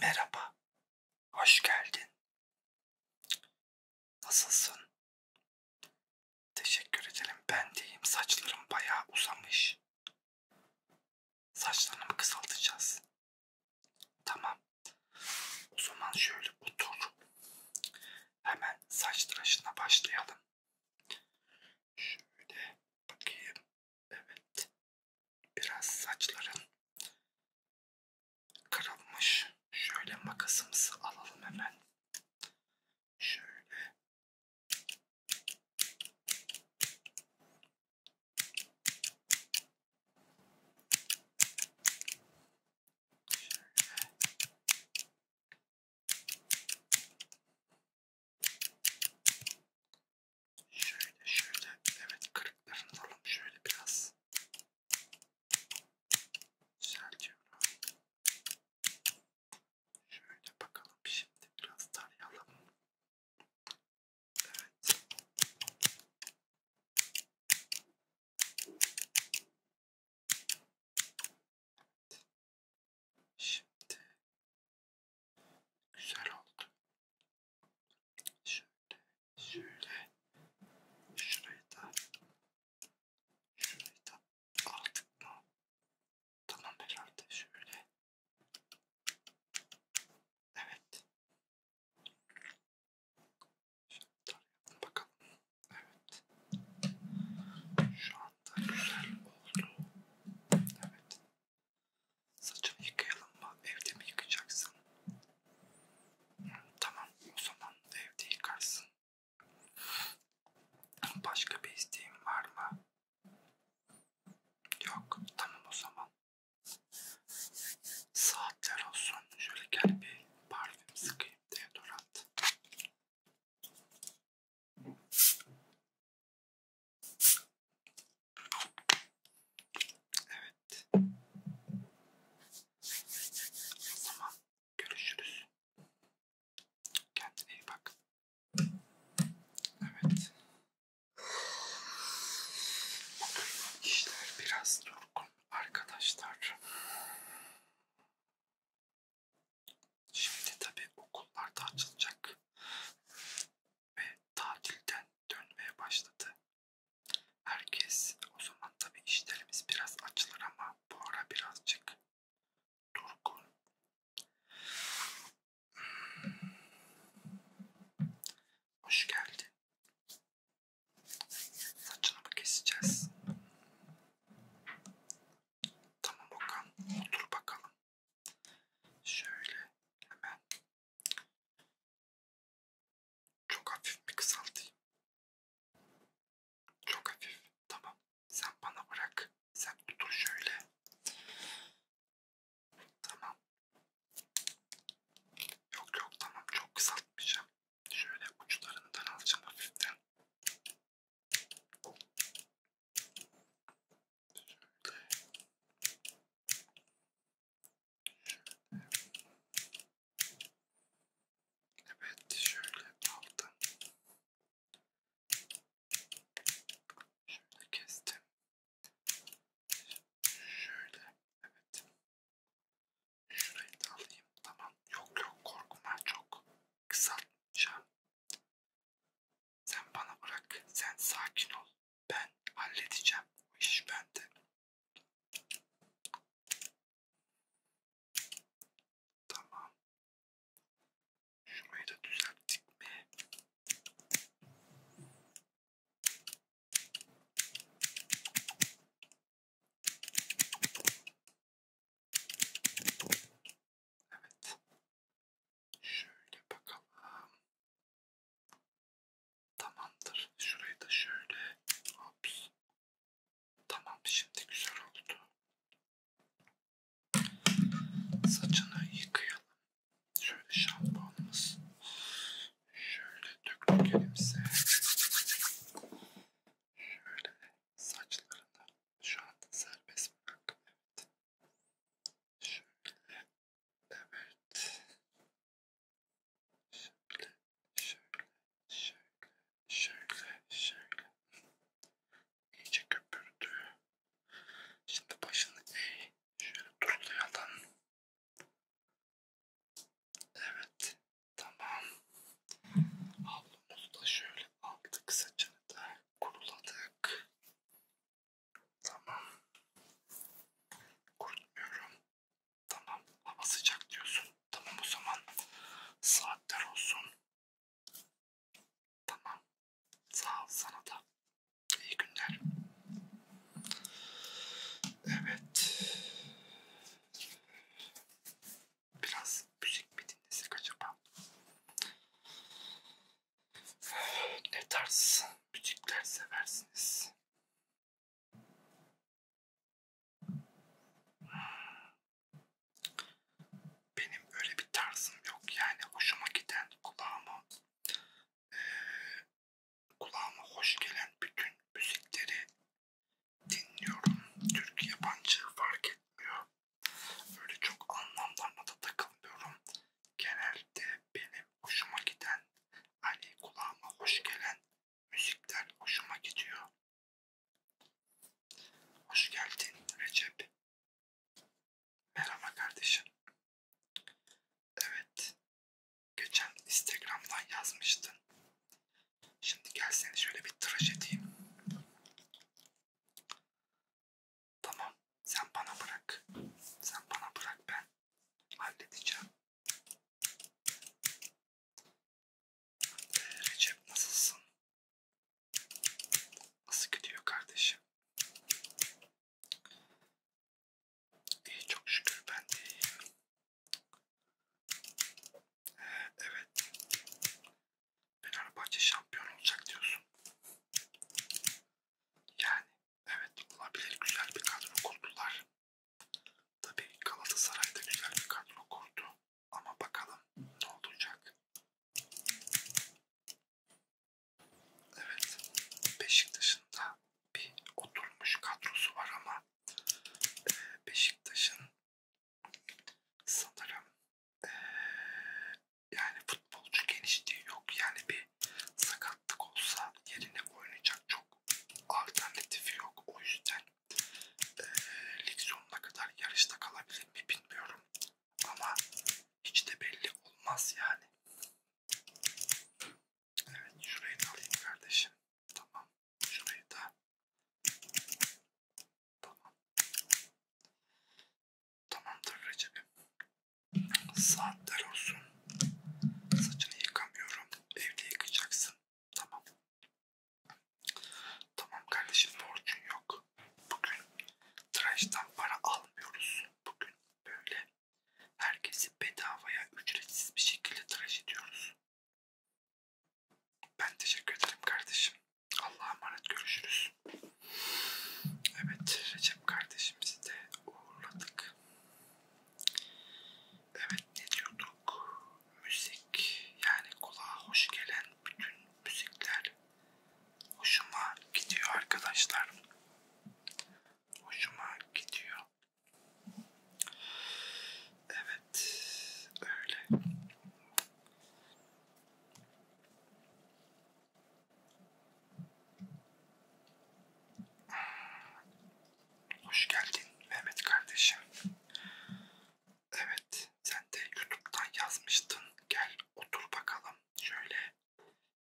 Merhaba, hoş geldin. Nasılsın? Teşekkür ederim, ben deyim. Saçlarım bayağı uzamış. Saçlarımı kısaltacağız. Tamam. O zaman şöyle otur. Hemen saç tıraşına başlayalım. Şöyle bakayım. Evet. Biraz saçların kırılmış. Şöyle makasımızı alalım hemen. Şöyle. Şöyle. Şöyle şöyle evet kırıklarını vuralım şöyle biraz. Güzel diyorum. Şöyle bakalım şimdi şey. biraz tarayalım. Evet. Şimdi Güzel oldu. Şöyle, şöyle. Şurayı da, şurayı da aldık mı? Tamam herhalde şöyle. Evet. Şöyle bakalım. Evet. Şu anda güzel oldu. Evet. Saçını yıkayalım mı? Evde mi yıkayacaksın? Hmm, tamam o zaman evde yıkarsın. Başka bir isteğin var mı? Yok tamam o zaman. Saatler olsun. Şöyle gel bir parfüm sıkayım deodorant. Evet. O zaman görüşürüz. Kendine iyi bak. Evet. İşler biraz durgun arkadaşlar. Şimdi tabi okullarda açılacak ve tatilden dönmeye başladı. Herkes o zaman tabi işlerimiz biraz açılır ama bu ara birazcık durgun. Hmm. Hoş geldin. Saçını mı keseceğiz? Tamam Okan, otur bakalım. Şöyle hemen çok hafif bir kısaltayım. Çok hafif. Tamam. Sen bana bırak. Sen otur şöyle. Tamam. Yok yok tamam çok kısaltmayacağım. Şöyle uçlarından alacağım hafiften. Evet şöyle aldım. Şöyle kestim. Şöyle evet. Şurayı da alayım. Tamam. Yok yok korkma çok kısaltacağım. Sen bana bırak. Sen sakin ol. Ben halledeceğim. O iş bende. Tamam. Şurayı da düzelttik mi? Evet. Şöyle bakalım. Tamamdır. Şurayı da şöyle. Hops. Tamam şimdi güzel oldu. Saçını yıkayalım. Şöyle şampuanımız. Şöyle döktük elimize. Şöyle saçlarını şu anda serbest bıraktım. Evet. Şöyle. Evet. Şöyle. Şöyle. Şöyle. Şöyle. Şöyle. İyice köpürdü. Şimdi başını eğ. Şöyle turlayalım. Evet. Tamam. Havlumuzu da şöyle aldık saçını da kuruladık. Tamam. Kurutmuyorum. Tamam. Hava sıcak diyorsun. Tamam o zaman saatler olsun. Tamam. Sağ ol sana da. İyi günler. Evet. Biraz müzik mi dinlesek acaba? Ne tarz müzikler seversiniz? Benim öyle bir tarzım yok yani hoşuma giden kulağıma e, kulağıma hoş gelen bütün müzikleri dinliyorum. Türk yabancı fark etmiyor. Öyle çok anlamlarına da takılmıyorum. Genelde benim hoşuma giden, hani kulağıma hoş gelen müzikler hoşuma gidiyor. Hoş geldin Recep. Merhaba kardeşim. Evet. Geçen Instagram'dan yazmıştın. Şimdi gel seni şöyle bir tıraş edeyim. Tamam. Sen bana bırak. Sen bana bırak ben. Halledeceğim. Ee, Recep nasılsın? Nasıl gidiyor kardeşim? İyi çok şükür ben de iyiyim. Evet. Fenerbahçe şampiyon olacak diyorsun. Yani evet olabilir güzel bir kadro kurdular. Tabii Galatasaray'da güzel bir kadro kurdu. Ama bakalım ne olacak. Evet Beşiktaş'ın da bir oturmuş kadrosu var ama e, Beşiktaş'ın sanırım ee, yani futbolcu genişliği yok. Yani bir sakatlık olsa yerine oynayacak çok alternatifi yok. O yüzden e, lig sonuna kadar yarışta kalabilir mi bilmiyorum. Ama hiç de belli olmaz yani. Evet şurayı da alayım kardeşim. Tamam. Şurayı da. Tamam. Tamamdır Recep'im. Saatler olsun. Saçını yıkamıyorum. Evde yıkayacaksın. Tamam. Tamam kardeşim borcun yok. Bugün tıraştan para almıyoruz. Bugün böyle herkesi bedavaya ücretsiz bir şekilde tıraş ediyoruz. Ben teşekkür ederim kardeşim. Allah'a emanet görüşürüz. Evet Recep kardeşimizi de uğurladık. Evet ne diyorduk? Müzik yani kulağa hoş gelen bütün müzikler hoşuma gidiyor arkadaşlar. Hoşuma gidiyor. Evet, öyle. Hoş geldin Mehmet kardeşim. Evet, sen de YouTube'dan yazmıştın. Gel otur bakalım. Şöyle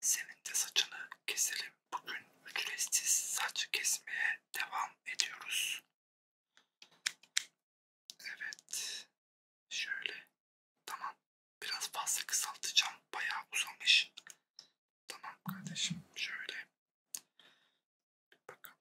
senin de saçını keselim. Bugün ücretsiz saç kesmeye devam ediyoruz. Evet. Şöyle. Tamam. Biraz fazla kısaltacağım. Bayağı uzamış. Tamam kardeşim. Şöyle. Bir bakalım.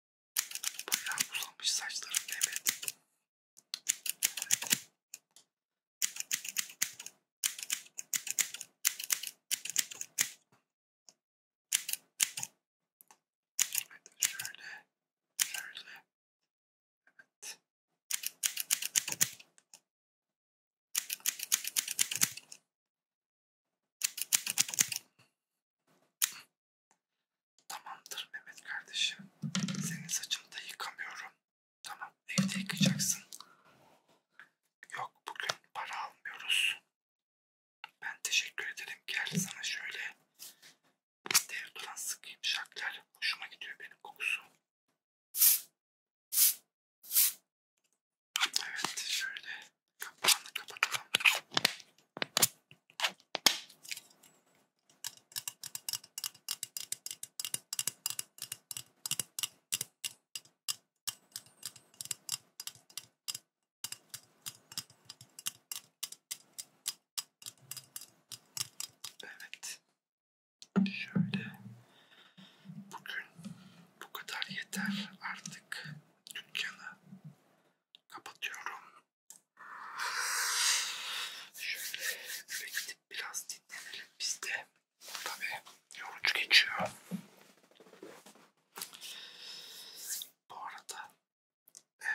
Bayağı uzamış saçlarım Mehmet. Evet şöyle, şöyle, evet. Tamamdır Mehmet kardeşim. Senin saçını da yıkamıyorum. Tamam evde yıkayacaksın. Yok bugün para almıyoruz. Ben teşekkür ederim. Gel sana şöyle deodorant sıkayım şaklar. Hoşuma gidiyor benim kokusu. Evet şöyle kapağını kapatalım. Evet. Şöyle. Bugün bu kadar yeter artık. Dükkanı kapatıyorum. Şöyle eve gidip biraz dinlenelim biz de. Tabi yorucu geçiyor. Bu arada e,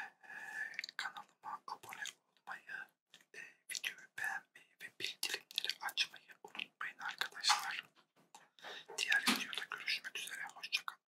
kanalıma abone olmayı, e, videoyu beğenmeyi ve bildirimleri açmayı unutmayın arkadaşlar. Diğer videoda görüşmek üzere. Hoşçakalın.